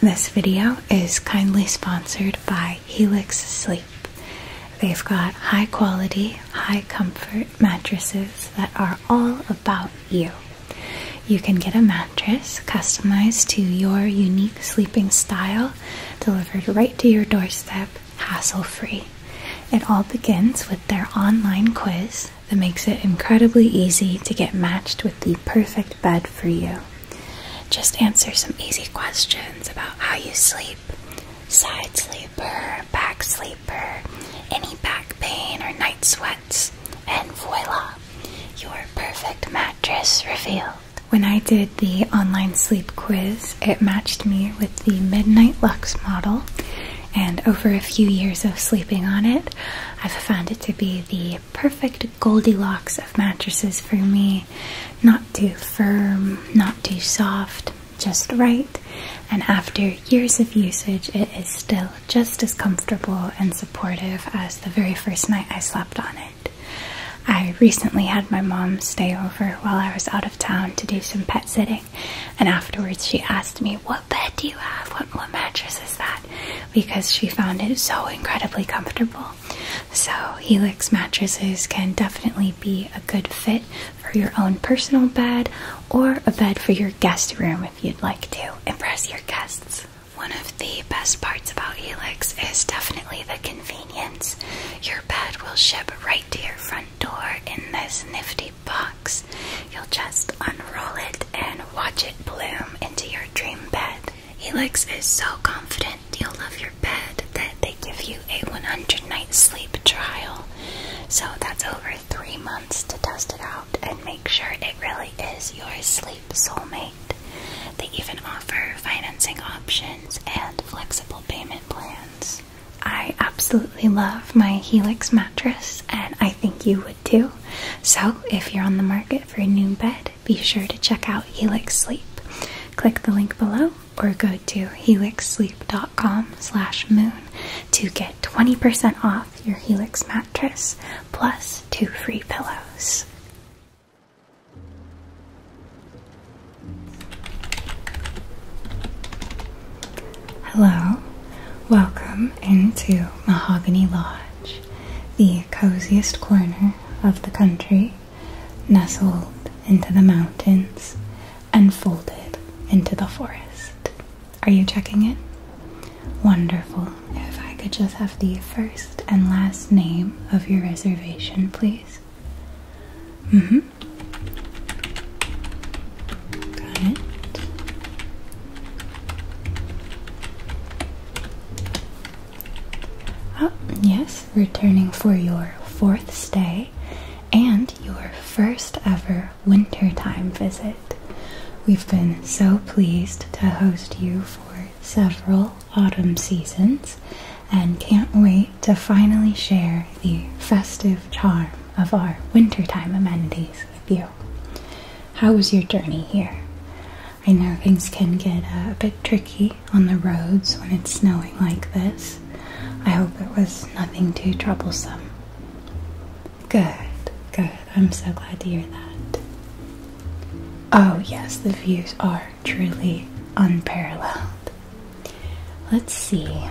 This video is kindly sponsored by Helix Sleep. They've got high quality, high comfort mattresses that are all about you. You can get a mattress customized to your unique sleeping style, delivered right to your doorstep, hassle free. It all begins with their online quiz that makes it incredibly easy to get matched with the perfect bed for you. Just answer some easy questions about how you sleep side sleeper, back sleeper, any back pain or night sweats, and voila, your perfect mattress revealed. When I did the online sleep quiz, it matched me with the Midnight Lux model, and over a few years of sleeping on it, I've found it to be the perfect Goldilocks of mattresses for me. Not too firm, not too soft, just right. And after years of usage, it is still just as comfortable and supportive as the very first night I slept on it. I recently had my mom stay over while I was out of town to do some pet sitting, and afterwards she asked me, What bed do you have? What, what mattress is that? Because she found it so incredibly comfortable. So, Helix mattresses can definitely be a good fit for your own personal bed or a bed for your guest room if you'd like to impress your guests. One of the best parts about Helix is definitely the convenience. Your bed will ship right to your front door in this nifty box. You'll just unroll it and watch it bloom into your dream bed. Helix is so confident you'll love your bed that they give you a 100 night sleep trial. So that's over three months to test it out and make sure it really is your sleep soulmate. They even offer financing options and flexible payment plans. I absolutely love my Helix mattress, and I think you would too. So, if you're on the market for a new bed, be sure to check out Helix Sleep. Click the link below or go to helixsleep.com moon to get 20% off your Helix mattress plus two free pillows. Hello, welcome into Mahogany Lodge, the coziest corner of the country, nestled into the mountains and folded into the forest. Are you checking it? Wonderful. If I could just have the first and last name of your reservation, please. Mm hmm. Got it. Oh, yes, returning for your fourth stay and your first ever wintertime visit. We've been so pleased to host you for several autumn seasons and can't wait to finally share the festive charm of our wintertime amenities with you. How was your journey here? I know things can get uh, a bit tricky on the roads when it's snowing like this. I hope it was nothing too troublesome. Good, good. I'm so glad to hear that. Oh, yes, the views are truly unparalleled. Let's see. Uh,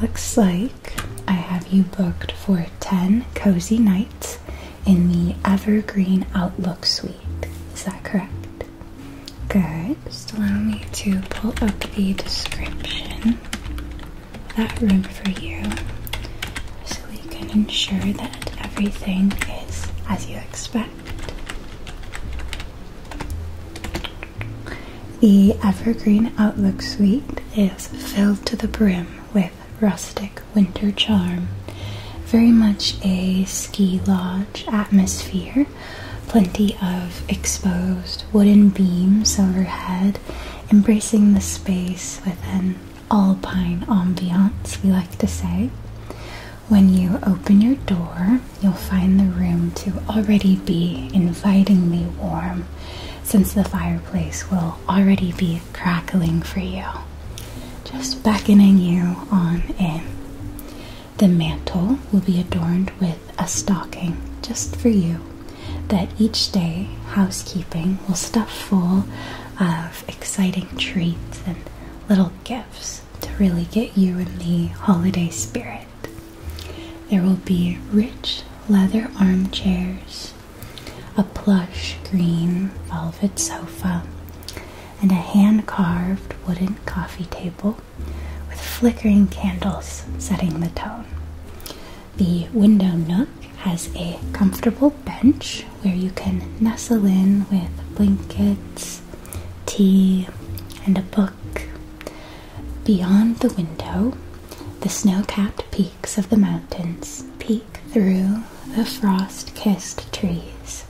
looks like I have you booked for 10 cozy nights in the Evergreen Outlook Suite. Is that correct? Good. Just allow me to pull up the description of that room for you so we can ensure that everything is as you expect. The Evergreen Outlook Suite is filled to the brim with rustic winter charm. Very much a ski lodge atmosphere. Plenty of exposed wooden beams overhead, embracing the space with an alpine ambiance, we like to say. When you open your door, you'll find the room to already be invitingly warm since the fireplace will already be crackling for you, just beckoning you on in. The mantle will be adorned with a stocking just for you that each day housekeeping will stuff full of exciting treats and little gifts to really get you in the holiday spirit. There will be rich leather armchairs, a plush green velvet sofa, and a hand carved wooden coffee table with flickering candles setting the tone. The window nook has a comfortable bench where you can nestle in with blankets, tea, and a book. Beyond the window, the snow capped peaks of the mountains peek through the frost kissed trees,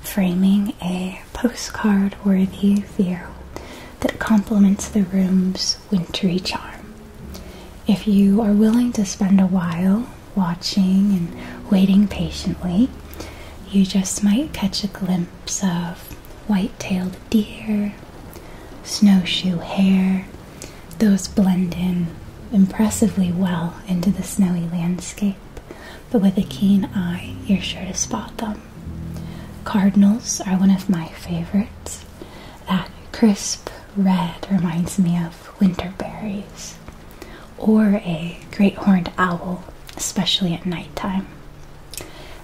framing a postcard worthy view that complements the room's wintry charm. If you are willing to spend a while watching and waiting patiently, you just might catch a glimpse of white tailed deer, snowshoe hare. Those blend in impressively well into the snowy landscape but with a keen eye, you're sure to spot them. Cardinals are one of my favorites. That crisp red reminds me of winter berries, or a great horned owl, especially at nighttime.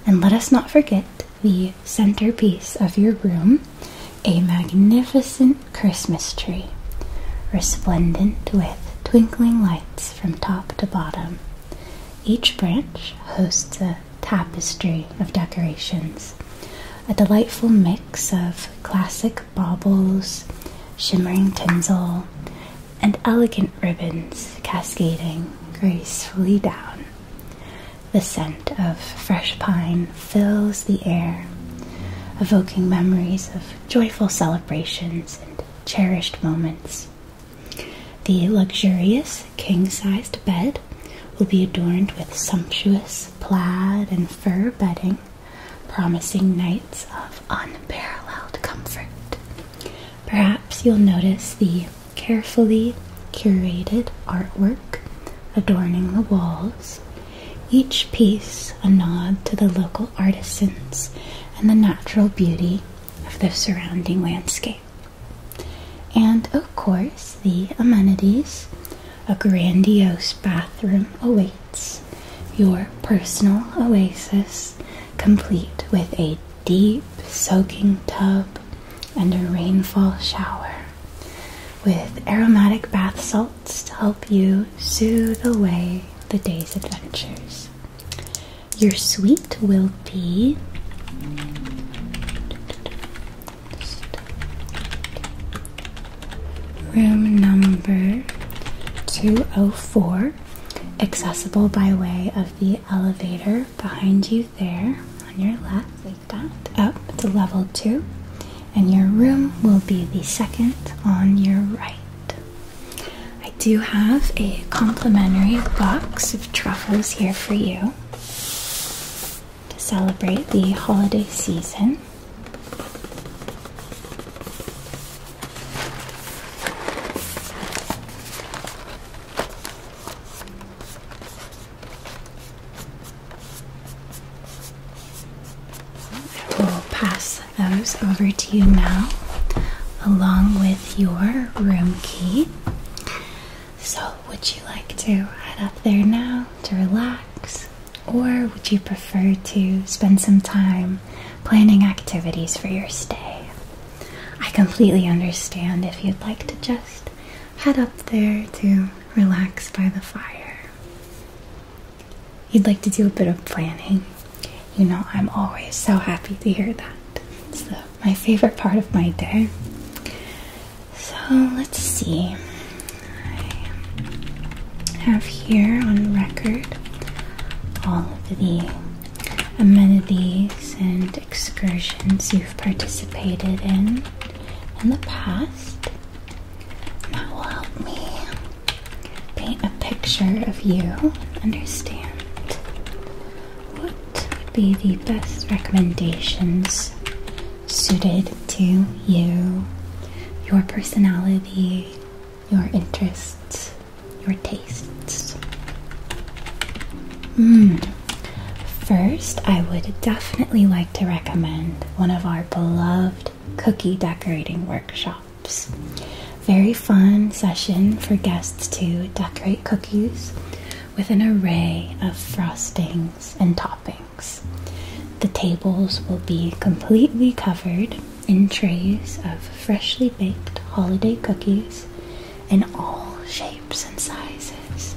And let us not forget the centerpiece of your room a magnificent Christmas tree, resplendent with twinkling lights from top to bottom. Each branch hosts a tapestry of decorations, a delightful mix of classic baubles, shimmering tinsel, and elegant ribbons cascading gracefully down. The scent of fresh pine fills the air, evoking memories of joyful celebrations, and cherished moments. The luxurious king sized bed will be adorned with sumptuous plaid and fur bedding, promising nights of unparalleled comfort. Perhaps you'll notice the carefully curated artwork adorning the walls each piece a nod to the local artisans and the natural beauty of the surrounding landscape. And of course, the amenities. A grandiose bathroom awaits, your personal oasis, complete with a deep soaking tub and a rainfall shower, with aromatic bath salts to help you soothe away the day's adventures. Your suite will be room number 204, accessible by way of the elevator behind you there on your left, like that, up to level 2. And your room will be the second on your right. I do have a complimentary box of truffles here for you to celebrate the holiday season. I pass those over to you now, along with your room key. So, would you like to head up there now to relax, or would you prefer to spend some time planning activities for your stay? I completely understand if you'd like to just head up there to relax by the fire you'd like to do a bit of planning, you know, I'm always so happy to hear that. It's my favorite part of my day. So let's see. I have here on record all of the amenities and excursions you've participated in in the past. that will help me paint a picture of you, understand what would be the best recommendations suited to you, your personality, your interests, your tastes. Hmm. First, I would definitely like to recommend one of our beloved cookie decorating workshops. Very fun session for guests to decorate cookies with an array of frostings and toppings. The tables will be completely covered in trays of freshly baked holiday cookies in all shapes and sizes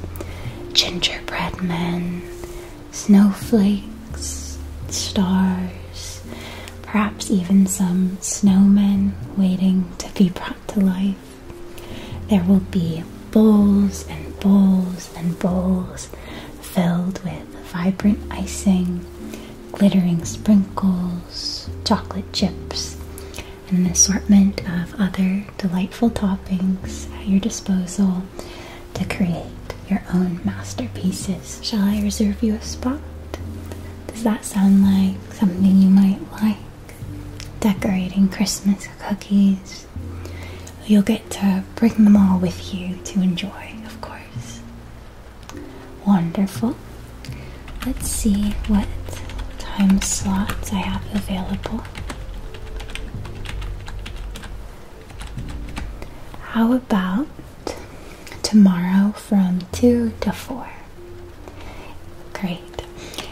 gingerbread men, snowflakes, stars, perhaps even some snowmen waiting to be brought to life. There will be bowls and bowls and bowls filled with vibrant icing, glittering sprinkles, chocolate chips, and an assortment of other delightful toppings at your disposal to create your own masterpieces. Shall I reserve you a spot? Does that sound like something you might like? Decorating Christmas cookies. You'll get to bring them all with you to enjoy, of course. Wonderful. Let's see what time slots I have available. How about tomorrow from 2 to 4. Great.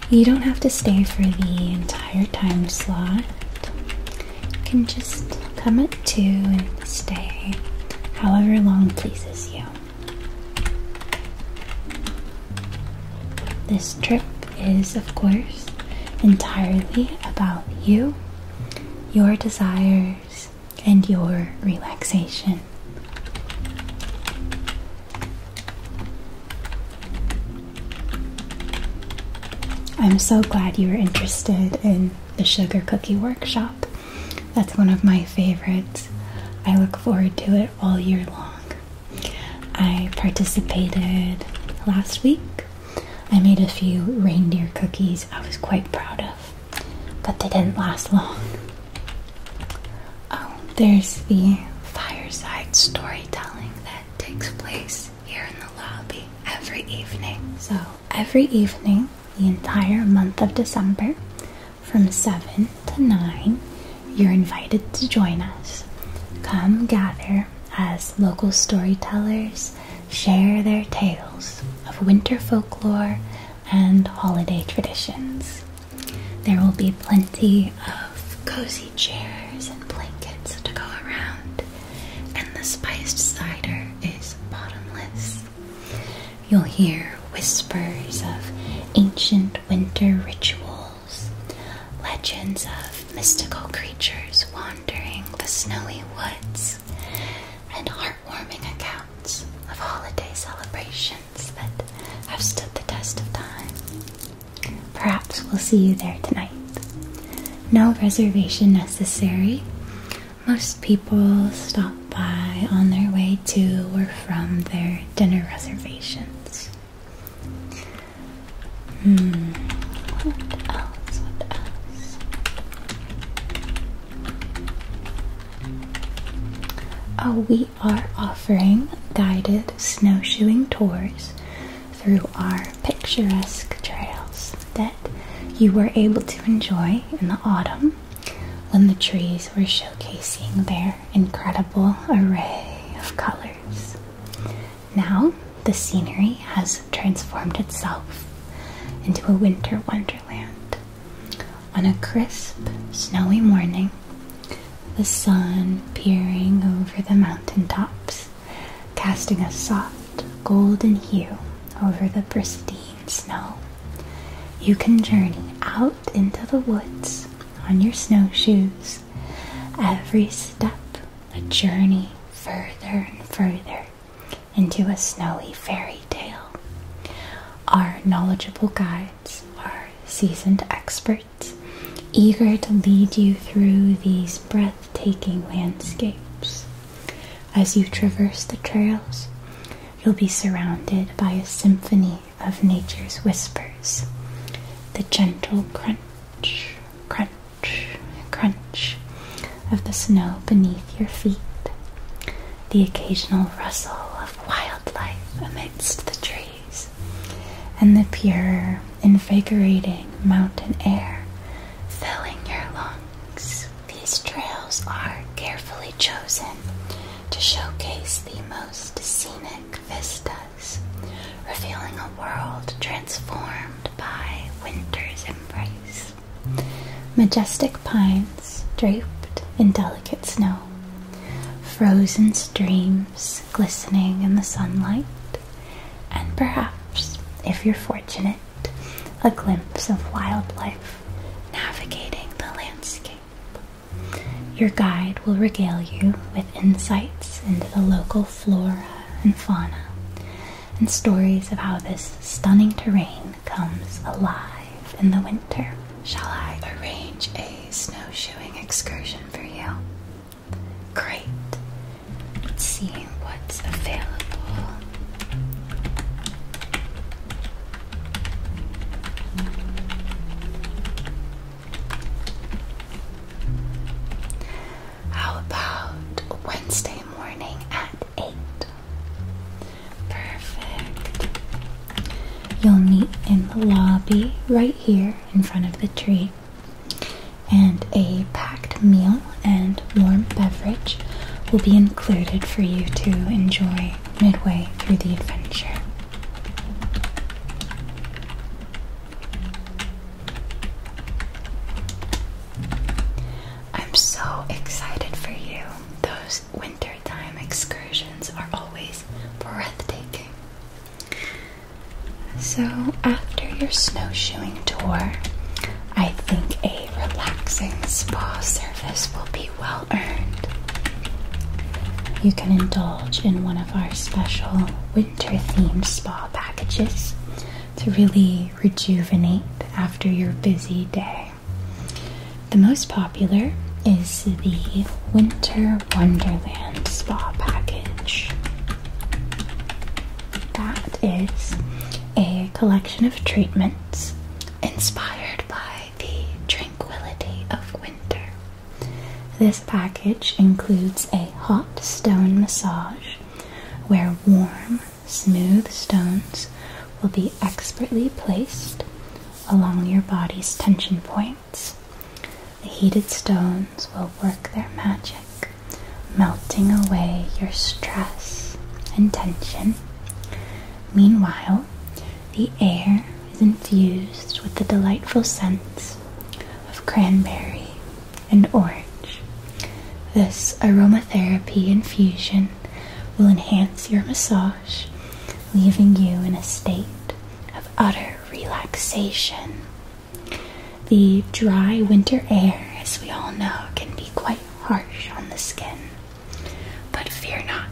You don't have to stay for the entire time slot. You can just come at 2 and stay however long pleases you. This trip is, of course, entirely about you, your desires, and your relaxation. I'm so glad you were interested in the sugar cookie workshop. That's one of my favorites. I look forward to it all year long. I participated last week. I made a few reindeer cookies I was quite proud of but they didn't last long. Oh, there's the fireside storytelling that takes place here in the lobby every evening. So, every evening, the entire month of December, from 7 to 9, you're invited to join us. Come gather as local storytellers share their tales of winter folklore and holiday traditions. There will be plenty of cozy chairs and blankets to go around, and the spiced cider is bottomless. You'll hear whispers of ancient winter rituals, legends of mystical creatures wandering the snowy woods, and heartwarming accounts of holiday celebrations that have stood the test of time. Perhaps we'll see you there tonight. No reservation necessary. Most people stop by on their way to or from their dinner reservations. Hmm, uh, we are offering guided snowshoeing tours through our picturesque trails that you were able to enjoy in the autumn when the trees were showcasing their incredible array of colors. Now, the scenery has transformed itself into a winter wonderland on a crisp, snowy morning, the sun peering over the mountain tops, casting a soft, golden hue over the pristine snow. You can journey out into the woods on your snowshoes, every step a journey further and further into a snowy fairyland fairy Our knowledgeable guides are seasoned experts, eager to lead you through these breathtaking landscapes. As you traverse the trails, you'll be surrounded by a symphony of nature's whispers. The gentle crunch, crunch, crunch of the snow beneath your feet, the occasional rustle of wildlife amidst the trees, and the pure, invigorating mountain air filling your lungs. These trails are carefully chosen to showcase the most scenic vistas, revealing a world transformed by winter's embrace. Majestic pine draped in delicate snow, frozen streams glistening in the sunlight, and perhaps, if you're fortunate, a glimpse of wildlife navigating the landscape. Your guide will regale you with insights into the local flora and fauna and stories of how this stunning terrain comes alive in the winter. Shall I arrange a snowshoeing excursion for you? Great. Seeing what's available. How about Wednesday morning at 8? Perfect. You'll meet in the lobby right here in front of the tree. And a packed meal and warm beverage will be included for you to enjoy midway through the adventure. I'm so excited for you. Those wintertime excursions are always breathtaking. So, after your snowshoeing tour, I think a relaxing spa service will be well earned. You can indulge in one of our special winter themed spa packages to really rejuvenate after your busy day. The most popular is the Winter Wonderland Spa Package. That is a collection of treatments inspired by the tranquility of winter. This package includes a hot stone massage where warm, smooth stones will be expertly placed along your body's tension points. The heated stones will work their magic, melting away your stress and tension. Meanwhile, the air is infused with the delightful scents of cranberry and orange. This aromatherapy infusion will enhance your massage leaving you in a state of utter relaxation. The dry winter air, as we all know, can be quite harsh on the skin. But fear not,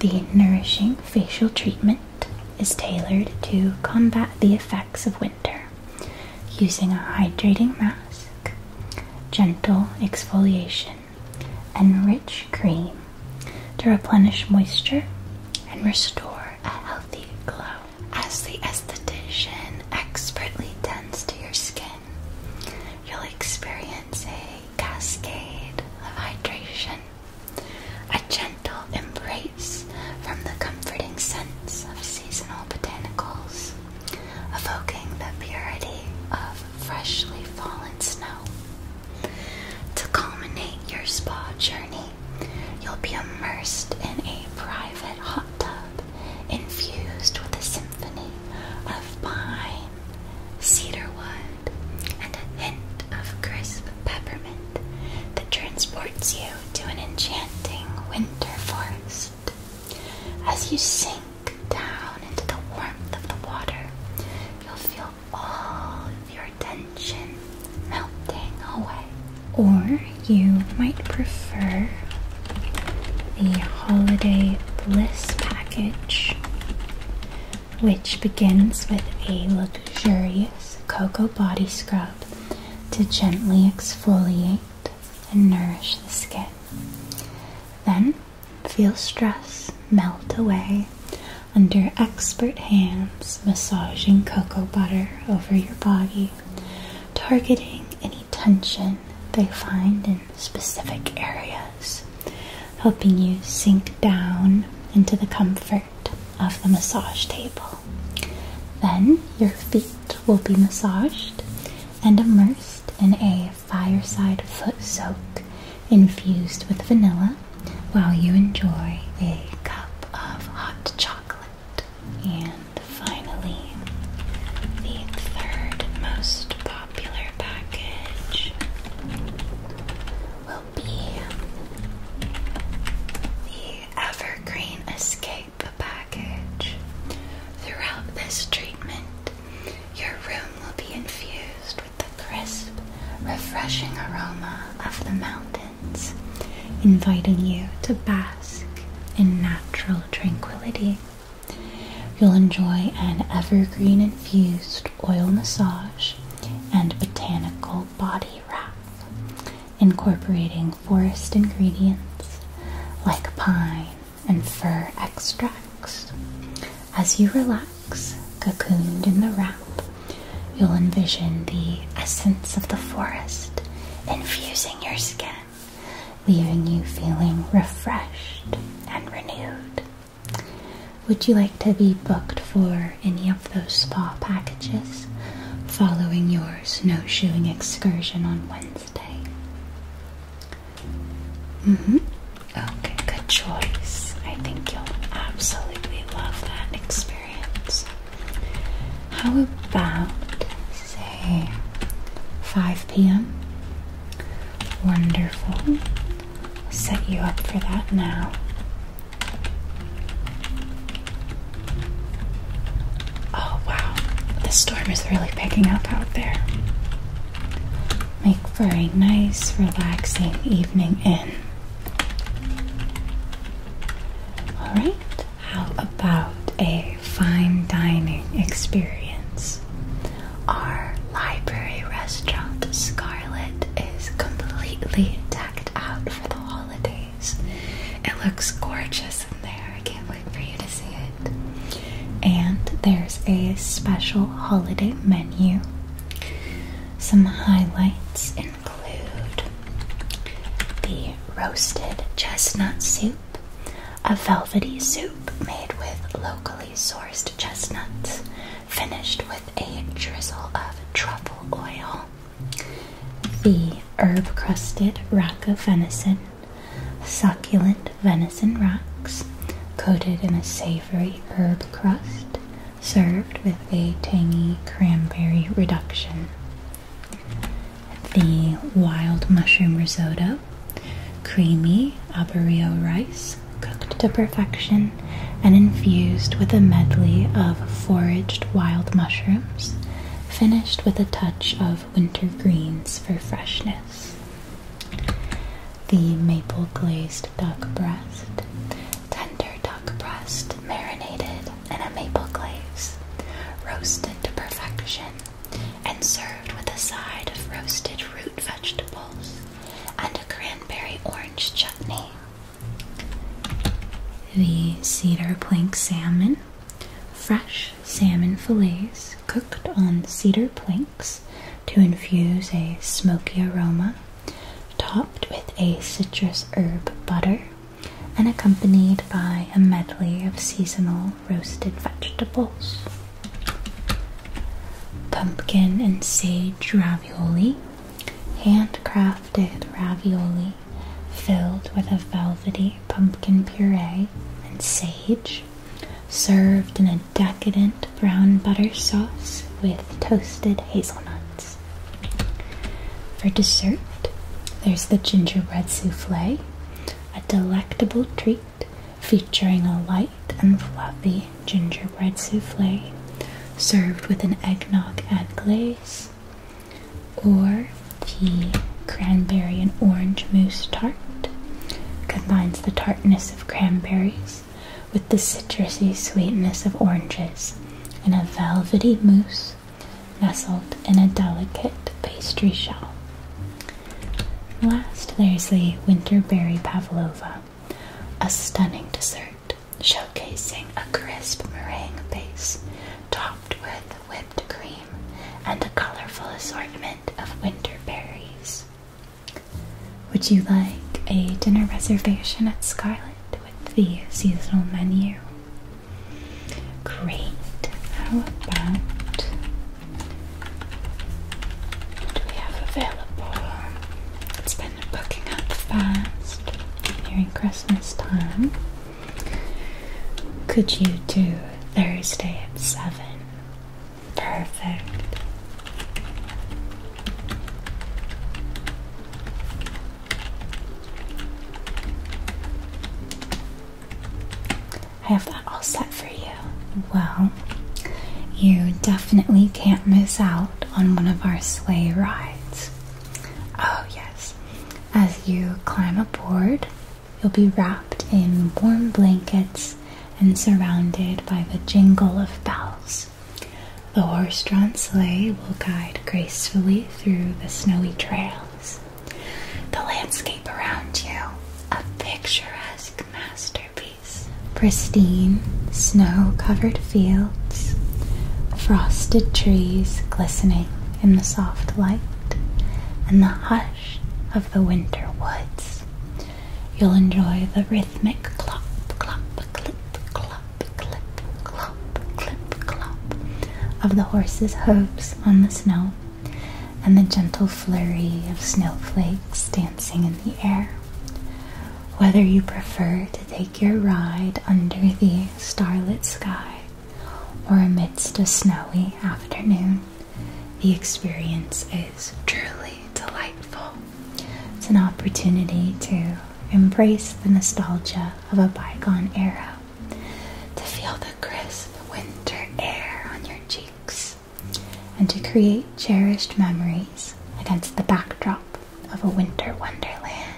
the nourishing facial treatment is tailored to combat the effects of winter using a hydrating mask, gentle exfoliation, and rich cream to replenish moisture and restore a healthy glow. As the esthetician expertly tends to your skin, you'll experience a cascade of hydration, a gentle embrace from the comforting scents of seasonal botanicals, evoking the purity of freshly fallen snow to culminate your spa journey, you'll be immersed in a private hot tub infused with a symphony of pine, cedarwood, and a hint of crisp peppermint that transports you to an enchanting winter forest. As you sink down into the warmth of the water, you'll feel all your tension melting away. Or you might prefer the Holiday Bliss package, which begins with a luxurious cocoa body scrub to gently exfoliate and nourish the skin. Then Feel stress melt away under expert hands massaging cocoa butter over your body, targeting any tension they find in specific areas, helping you sink down into the comfort of the massage table. Then your feet will be massaged and immersed in a fireside foot soak infused with vanilla while you enjoy a cup of hot chocolate. And finally, the third most popular package will be the Evergreen Escape package. Throughout this treatment, your room will be infused the crisp, refreshing aroma of the mountains, inviting you to bask in natural tranquility. You'll enjoy an evergreen infused oil massage and botanical body wrap, incorporating forest ingredients like pine and fir extracts. As you relax, cocooned in the wrap, you'll envision the essence of the forest infusing your skin, leaving you feeling refreshed and renewed. Would you like to be booked for any of those spa packages following your snowshoeing excursion on Wednesday? hmm. Okay, good choice. I think you'll absolutely love that experience. How about, say, 5 p.m.? Wonderful. I'll set you up for that now. Oh wow, the storm is really picking up out there. Make for a nice, relaxing evening in. All right, how about a fine dining experience? Our library restaurant, Scarlet, is completely decked out for the holidays. It looks gorgeous in there. I can't wait for you to see it. And there's a special holiday menu. Some highlights include the roasted chestnut soup, a velvety soup made with locally sourced chestnuts, finished with a drizzle of truffle oil, the herb crusted rack of venison, succulent venison racks coated in a savory herb crust, served with a tangy cranberry reduction. The wild mushroom risotto, creamy arborio rice cooked to perfection and infused with a medley of foraged wild mushrooms, finished with a touch of winter greens for freshness. The maple glazed duck breast, tender duck breast marinated in a maple glaze, roasted to perfection, and served with a side of roasted root vegetables and a cranberry orange chutney. The cedar plank salmon, fresh salmon fillets cooked on cedar planks to infuse a smoky aroma topped with a citrus herb butter, and accompanied by a medley of seasonal roasted vegetables. Pumpkin and sage ravioli, handcrafted ravioli filled with a velvety pumpkin puree and sage, served in a decadent brown butter sauce with toasted hazelnuts. For dessert, there's the gingerbread souffle, a delectable treat featuring a light and fluffy gingerbread souffle served with an eggnog egg glaze, or the cranberry and orange mousse tart combines the tartness of cranberries with the citrusy sweetness of oranges and a velvety mousse nestled in a delicate pastry shell. Last, there's the winter berry pavlova, a stunning dessert showcasing a crisp meringue base topped with whipped cream and a colorful assortment of winter berries. Would you like a dinner reservation at Scarlet? with the seasonal menu. Great. How about what do we have available? It's been booking up fast during Christmas time. Could you do Thursday at 7? Perfect. I have that all set for you. Well, you definitely can't miss out on one of our sleigh rides. Oh, yes. As you climb aboard, you'll be wrapped in warm blankets and surrounded by the jingle of bells. The horse drawn sleigh will guide gracefully through the snowy trails. The landscape around you, a picturesque masterpiece. Pristine, snow covered fields, frosted trees glistening in the soft light, and the hush of the winter woods. You'll enjoy the rhythmic clop, clop, clip, clop clip, clop, clip, clop of the horse's hooves on the snow, and the gentle flurry of snowflakes dancing in the air. Whether you prefer to take your ride under the starlit sky or amidst a snowy afternoon, the experience is truly delightful. It's an opportunity to embrace the nostalgia of a bygone era, to feel the crisp winter air on your cheeks, and to create cherished memories against the backdrop of a winter wonderland.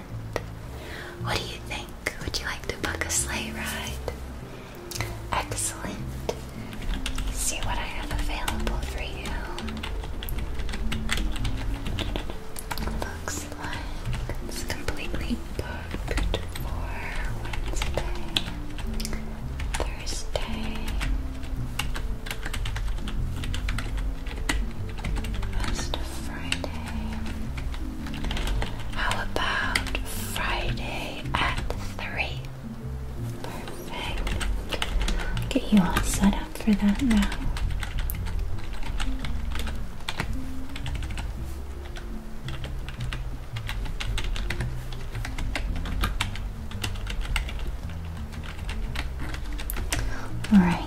What do you think? Would you like to book a sleigh ride? Excellent. see what I have available for you. Looks like it's completely booked for Wednesday, Thursday. Rest of Friday. How about Friday at 3? Perfect. Get you all set up for that now. All right,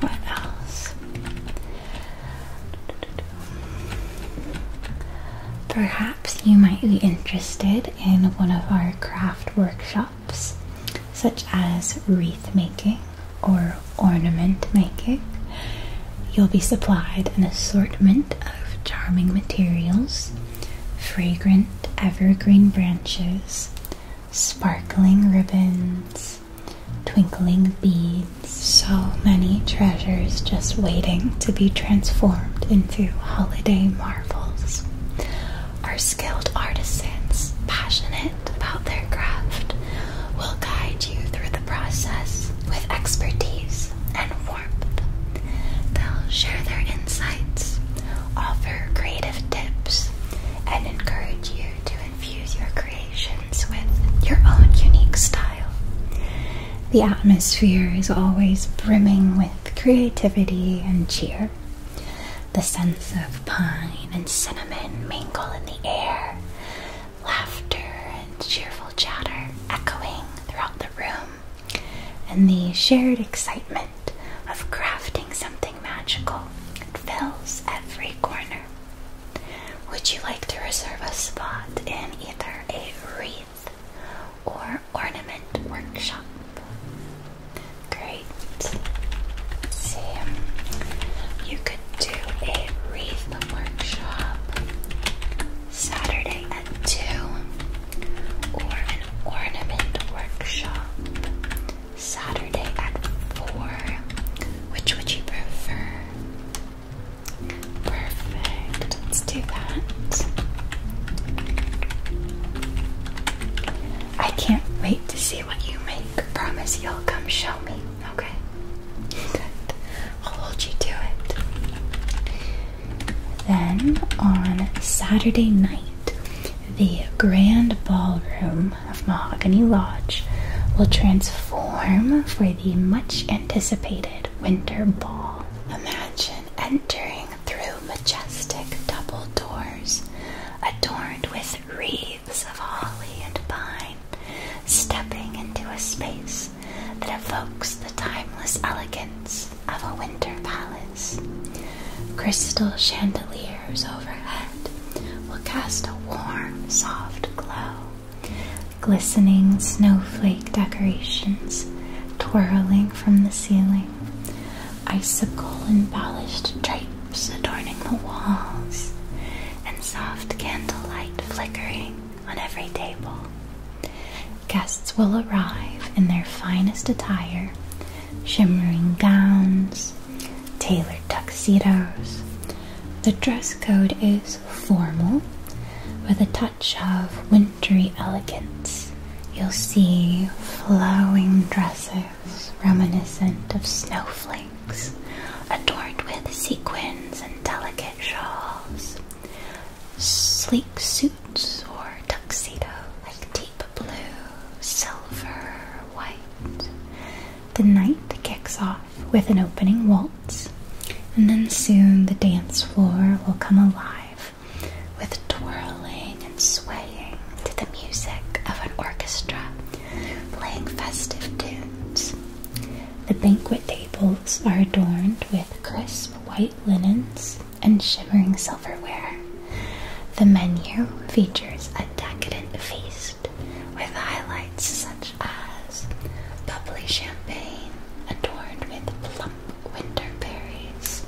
what else? Perhaps you might be interested in one of our craft workshops, such as wreath making or ornament making, you'll be supplied an assortment of charming materials, fragrant evergreen branches, sparkling ribbons, twinkling beads, so many treasures just waiting to be transformed into holiday marvels. Our skilled artisans, passionate about their craft will guide you through the process with expertise and warmth. They'll share their insights, offer creative tips, and encourage you to infuse your creations with your own unique style. The atmosphere is always brimming with creativity and cheer. The sense of pine and cinnamon mingle in the air, laughter and cheerful chatter echoing throughout the room, and the shared excitement of crafting something magical fills every corner. Would you like to reserve a spot in either a wreath or ornament workshop? Great. Sam, you could do a wreath workshop Saturday at 2 or an ornament workshop Saturday at 4. Which would you prefer? Perfect. Let's do that. I can't wait to see what you make. Promise you'll come show me. Okay. Good. I'll hold you to it. Then on Saturday night, the grand ballroom of Mahogany Lodge will transform for the much anticipated winter ball. Imagine entering through majestic double doors adorned with wreaths of holly and pine, stepping into a space that evokes the timeless elegance of a winter palace. Crystal chandeliers overhead will cast a warm, soft glow. Glistening snowflake decorations twirling from the ceiling, icicle embellished drapes adorning the walls, and soft candlelight flickering on every table. Guests will arrive in their finest attire, shimmering gowns, tailored tuxedos. The dress code is formal with a touch of wintry elegance. You'll see flowing dresses reminiscent of snowflakes adorned with sequins and delicate shawls, sleek suits or tuxedo like deep blue, silver, white. The night kicks off with an opening waltz, and then soon the dance floor will come alive with twirling and swaying to the music of an orchestra playing festive tunes. The banquet tables are adorned with crisp white linens and shimmering silverware. The menu features a decadent feast with highlights such as bubbly champagne adorned with plump winter berries,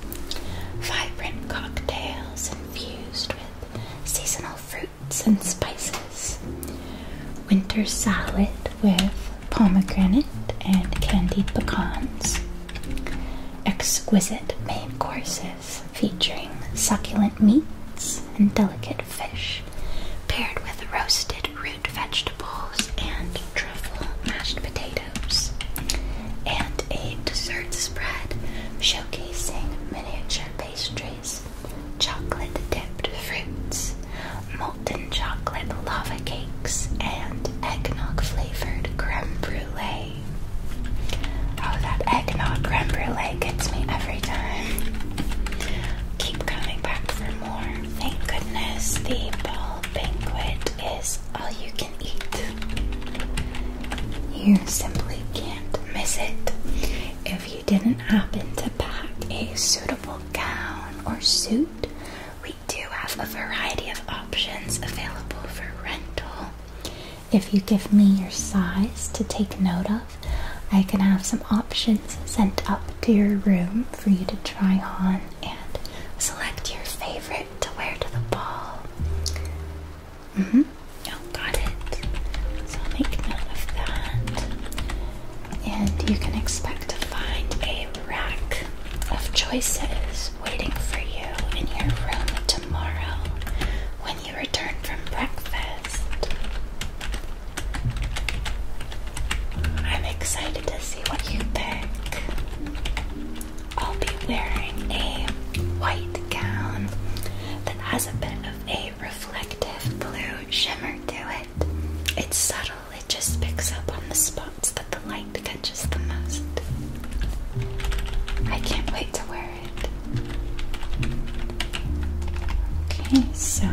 vibrant cocktails infused with seasonal fruit and spices, winter salad with pomegranate and candied pecans, exquisite main courses featuring succulent meats and delicate fish, paired with roasted root vegetables and truffle mashed potatoes, and a dessert spread showcasing miniature pastries chocolate dipped fruits, molten chocolate lava cakes, and eggnog flavored creme brulee. Oh, that eggnog creme brulee gets me every time. Keep coming back for more. Thank goodness the ball banquet is all you can eat. You simply can't miss it. If you you didn't happen to pack a suitable gown or suit, we do have a variety of options available for rental. If you give me your size to take note of, I can have some options sent up to your room for you to try on and select your favorite to wear to the ball. hmm. got it. So make note of that and you can expect to find a rack of choices waiting for you in your room tomorrow when you return from breakfast. I'm excited to see what you pick. I'll be wearing a white gown that has a bit of a reflective blue shimmer to it. It's subtle, it just picks up on the spots that the light catches the most. I can't wait to wear it. Okay, so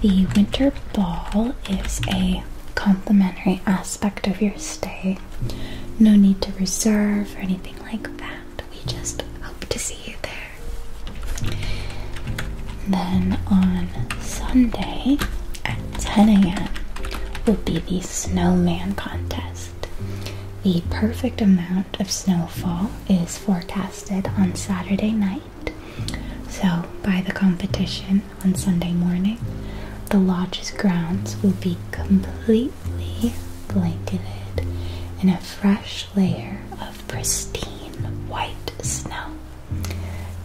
the winter ball is a complimentary aspect of your stay. No need to reserve or anything like that we just hope to see you there. Then on Sunday at 10 a.m. will be the snowman contest. The perfect amount of snowfall is forecasted on Saturday night. So, by the competition on Sunday morning, the lodge's grounds will be completely blanketed in a fresh layer of pristine white snow.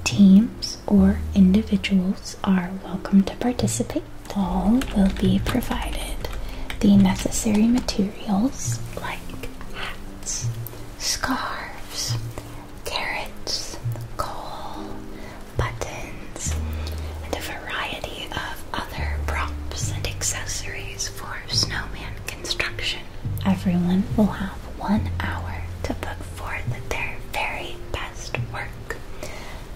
Teams or individuals are welcome to participate. All will be provided the necessary materials like hats, scarves, carrots, coal, buttons, and a variety of other props and accessories for snowman construction everyone will have one hour to put forth their very best work.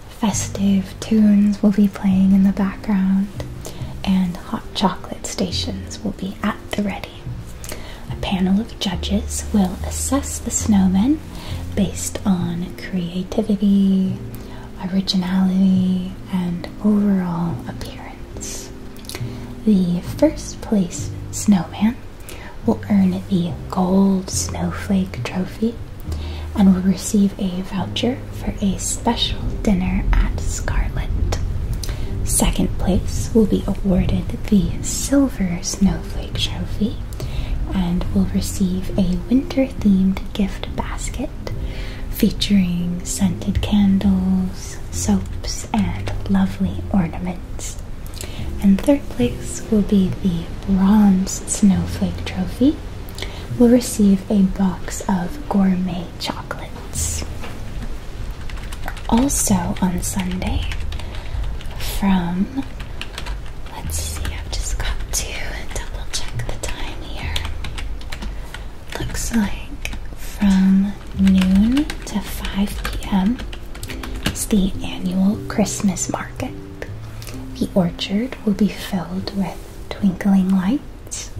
Festive tunes will be playing in the background, and hot chocolate stations will be at the ready. A panel of judges will assess the snowmen based on creativity, originality, and overall appearance. The first place snowman will earn the Gold Snowflake Trophy and will receive a voucher for a special dinner at Scarlet. Second place will be awarded the Silver Snowflake Trophy and will receive a winter themed gift basket featuring scented candles soaps, and lovely ornaments. And third place will be the Bronze Snowflake Trophy. Will receive a box of gourmet chocolates. Also on Sunday, from let's see, I've just got to double check the time here. Looks like from noon to 5 p.m. is the annual Christmas market. The orchard will be filled with twinkling lights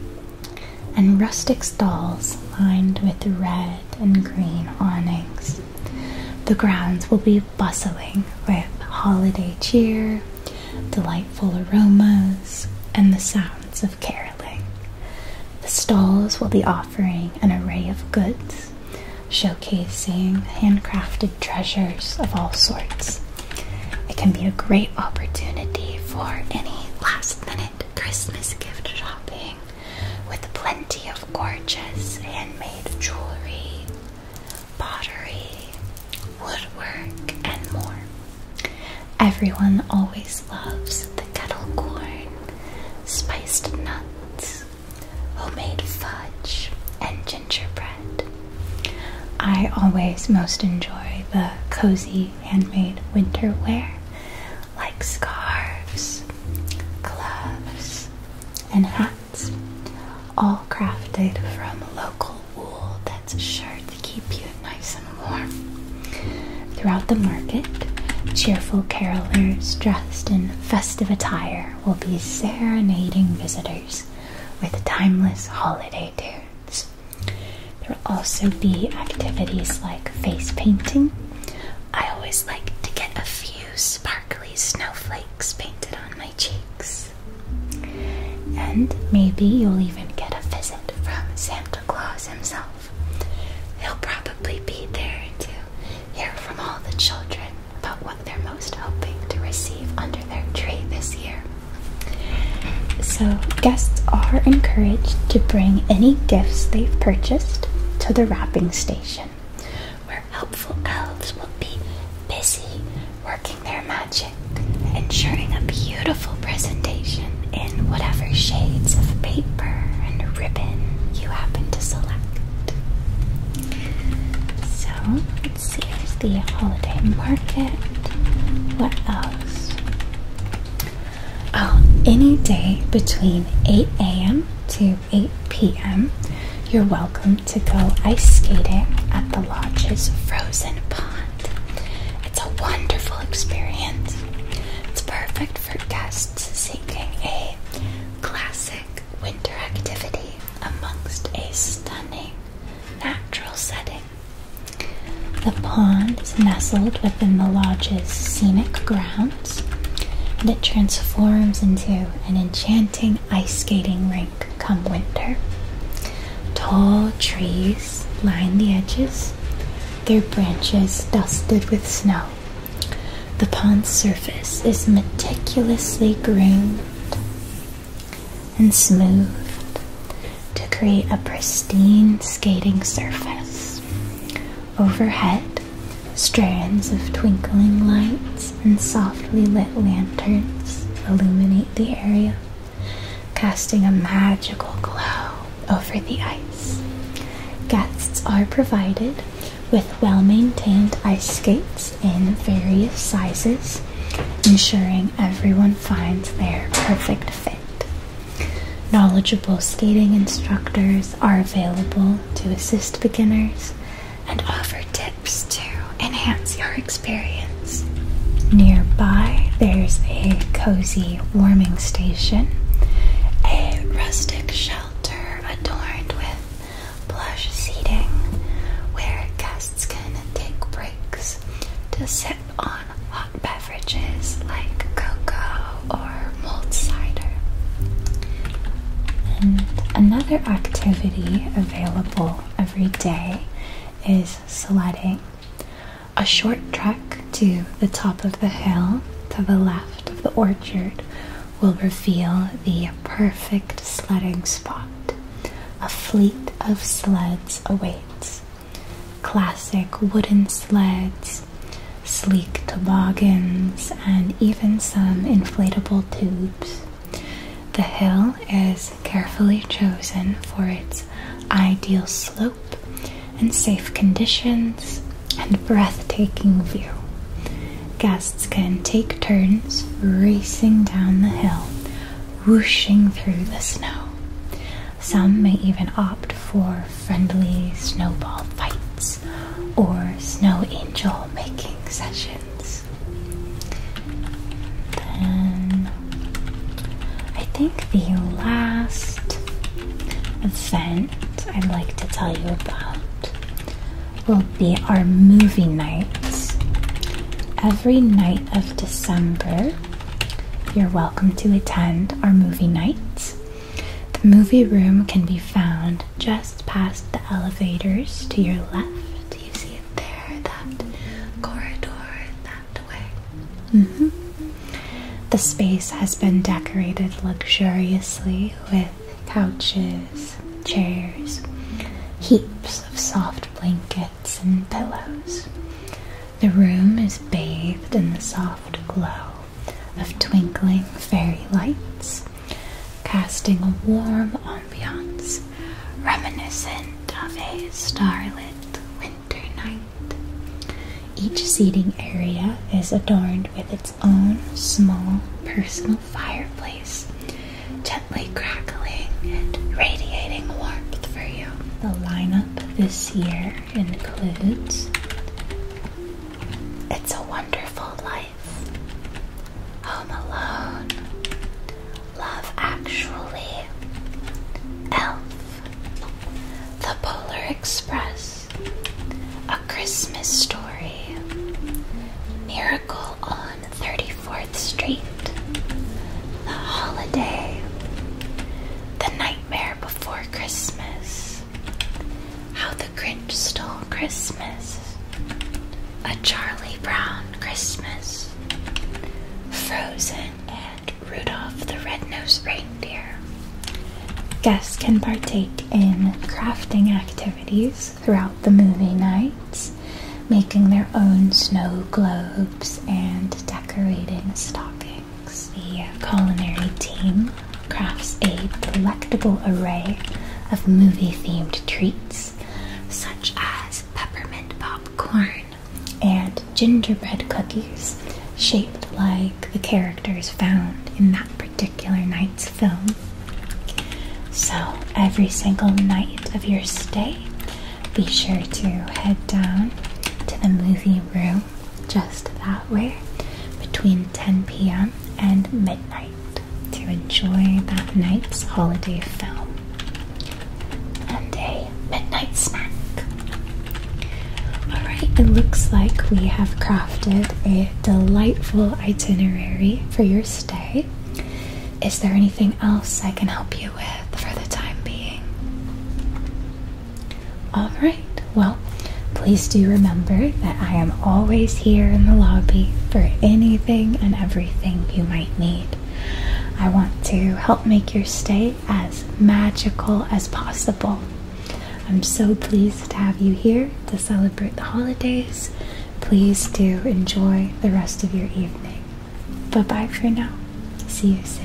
and rustic stalls lined with red and green awnings. The grounds will be bustling with holiday cheer, delightful aromas, and the sounds of caroling. The stalls will be offering an array of goods, showcasing handcrafted treasures of all sorts. It can be a great opportunity for any last minute Christmas gift shopping with plenty of gorgeous handmade jewelry, pottery, woodwork, and more. Everyone always loves kettle corn, spiced nuts, homemade fudge, and gingerbread. I always most enjoy the cozy handmade winter wear, like scarves, gloves, and hats, all crafted from local wool that's sure to keep you nice and. Throughout the market, cheerful carolers dressed in festive attire will be serenading visitors with timeless holiday tunes. There will also be activities like face painting. I always like to get a few sparkly snowflakes painted on my cheeks. And maybe you'll even get a visit from Santa Claus himself himself. He'll probably be there to hear from all the children about what they're most hoping to receive under their tree this year. So, guests are encouraged to bring any gifts they've purchased to the wrapping station, where helpful elves will be busy working their magic, ensuring a beautiful presentation in whatever shades of paper and ribbon you happen to select. So let's see, here's the holiday market. What else? Oh, any day between 8 a.m. to 8 p.m., you're welcome to go ice skating at the lodge's frozen pond. It's a wonderful experience. It's perfect for guests seeking a classic winter activity amongst a stunning natural setting. The pond is nestled within the lodge's scenic grounds, and it transforms into an enchanting ice skating rink come winter. Tall trees line the edges, their branches dusted with snow. The pond's surface is meticulously groomed and smoothed to create a pristine skating surface. Overhead, strands of twinkling lights and softly lit lanterns illuminate the area, casting a magical glow over the ice. Guests are provided with well maintained ice skates in various sizes, ensuring everyone finds their perfect fit. Knowledgeable skating instructors are available to assist beginners and offer tips to enhance your experience. Nearby, there's a cozy warming station, a rustic shelter adorned with plush seating where guests can take breaks to sip on hot beverages like cocoa or mulled cider. another activity available every day is sledding, a short trek to the top of the hill to the left of the orchard will reveal the perfect sledding spot. A fleet of sleds awaits. Classic wooden sleds, sleek toboggans, and even some inflatable tubes. The hill is carefully chosen for its ideal slope and safe conditions and breathtaking view. Guests can take turns racing down the hill, whooshing through the snow. Some may even opt for friendly snowball fights or snow angel making sessions. Then I think the last event I'd like to tell you about will be our movie nights. Every night of December, you're welcome to attend our movie nights. The movie room can be found just past the elevators to your left. Do You see it there, that corridor that way. Mm-hmm. The space has been decorated luxuriously with couches, chairs, heaps of soft blankets, and pillows. The room is bathed in the soft glow of twinkling fairy lights, casting a warm ambiance reminiscent of a starlit winter night. Each seating area is adorned with its own small personal fireplace, gently crackling and radiating warmth for you. The lineup this year includes It's a Wonderful Life, Home Alone, Love Actually, Elf, The Polar Express. A Christmas Story, Miracle on 34th Street, The Holiday, The Nightmare Before Christmas, How the Grinch Stole Christmas, A Charlie Brown Christmas, Frozen and Rudolph the Red-Nosed Reindeer. Guests can partake in crafting activities throughout the movie nights, making their own snow globes and decorating stockings. The uh, culinary team crafts a delectable array of movie themed treats, such as peppermint popcorn and gingerbread cookies shaped like the characters found in that particular night's film. So, every single night of your stay, be sure to head down to the movie room just that way between 10 p.m. and midnight to enjoy that night's holiday film and a midnight snack. Alright, it looks like we have crafted a delightful itinerary for your stay. Is there anything else I can help you with for the time being? All right, well, please do remember that I am always here in the lobby for anything and everything you might need. I want to help make your stay as magical as possible. I'm so pleased to have you here to celebrate the holidays. Please do enjoy the rest of your evening. Bye bye for now. See you soon.